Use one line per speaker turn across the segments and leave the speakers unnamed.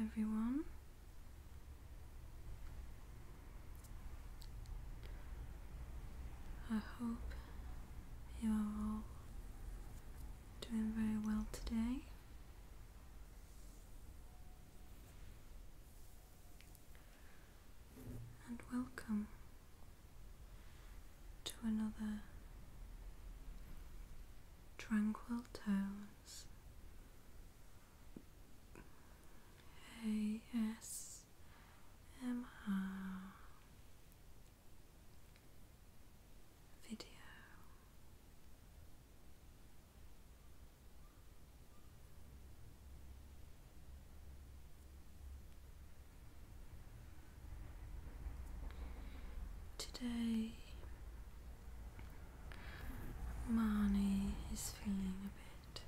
everyone. I hope you are all doing very well today. And welcome to another Tranquil Tones ASMR video. Today Marnie is feeling a bit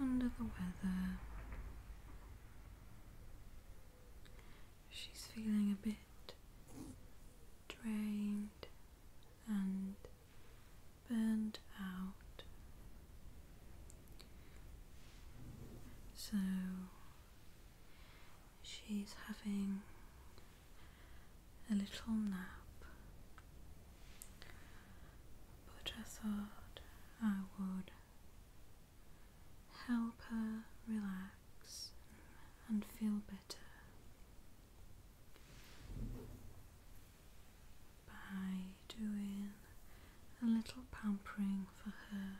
under the weather. She's feeling a bit drained and burned out. So she's having a little nap, but I thought I would help her relax and feel better by doing a little pampering for her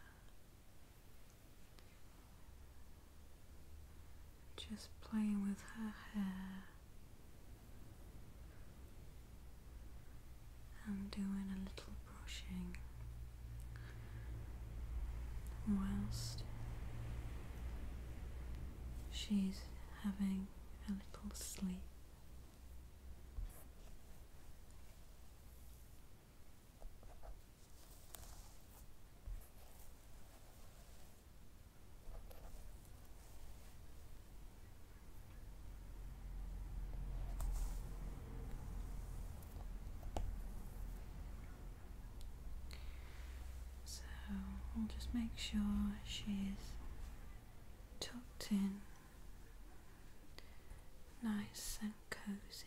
just playing with her hair and doing a little brushing whilst she's having a little sleep. So I'll just make sure she's tucked in, nice and cozy.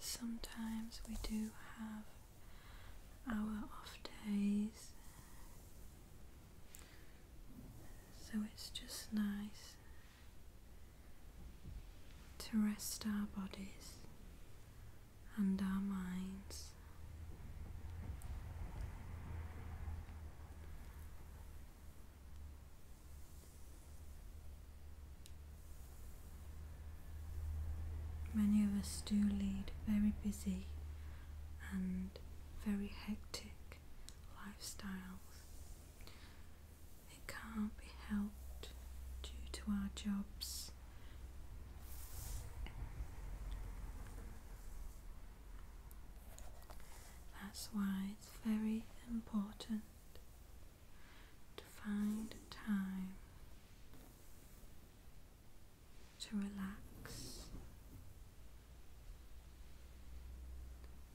Sometimes we do have our off days so it's just nice to rest our bodies and our minds. Many of us do lead very busy and very hectic lifestyles, it can't be helped due to our jobs. That's why it's very important to find time to relax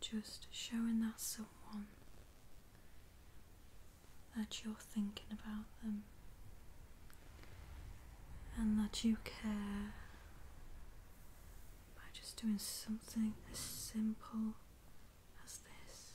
Just showing that someone that you're thinking about them and that you care by just doing something as simple as this.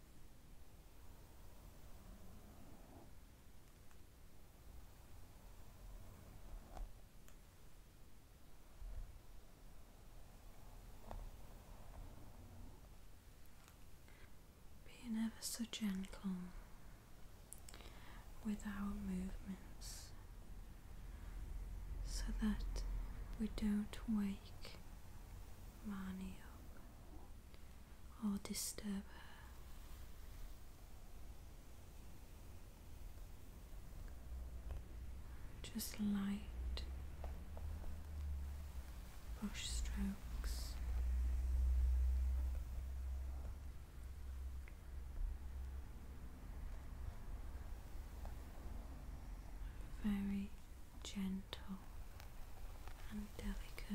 Being ever so gentle with our movements so that we don't wake Marnie up or disturb her. Just light brushstrokes. Very gentle and delicate.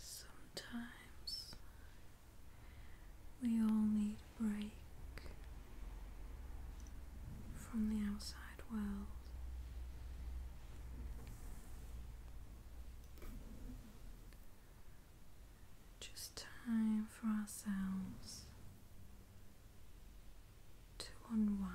Sometimes we all need a break from the outside. Just time for ourselves to unwind.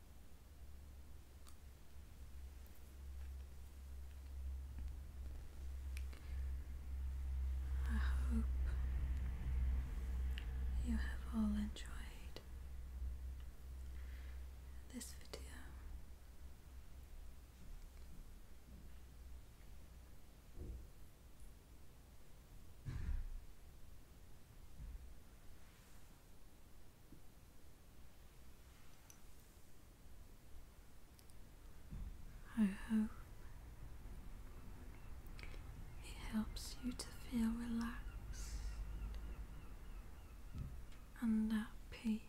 I hope you have all enjoyed this video. I hope it helps you to feel relaxed and at peace.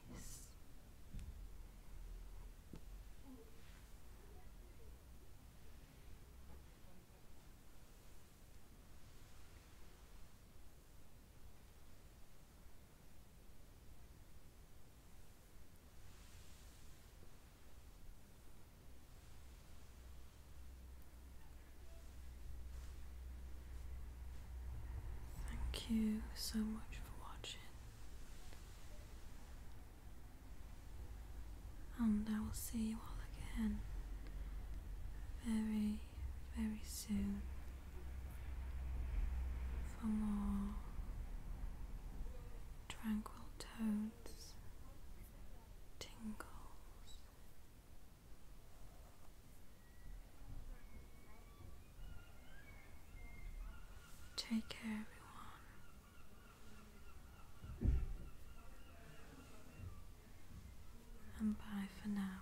Thank you so much for watching, and I will see you all again very very soon for more tranquil tones, tingles. Take care, everyone, and bye for now.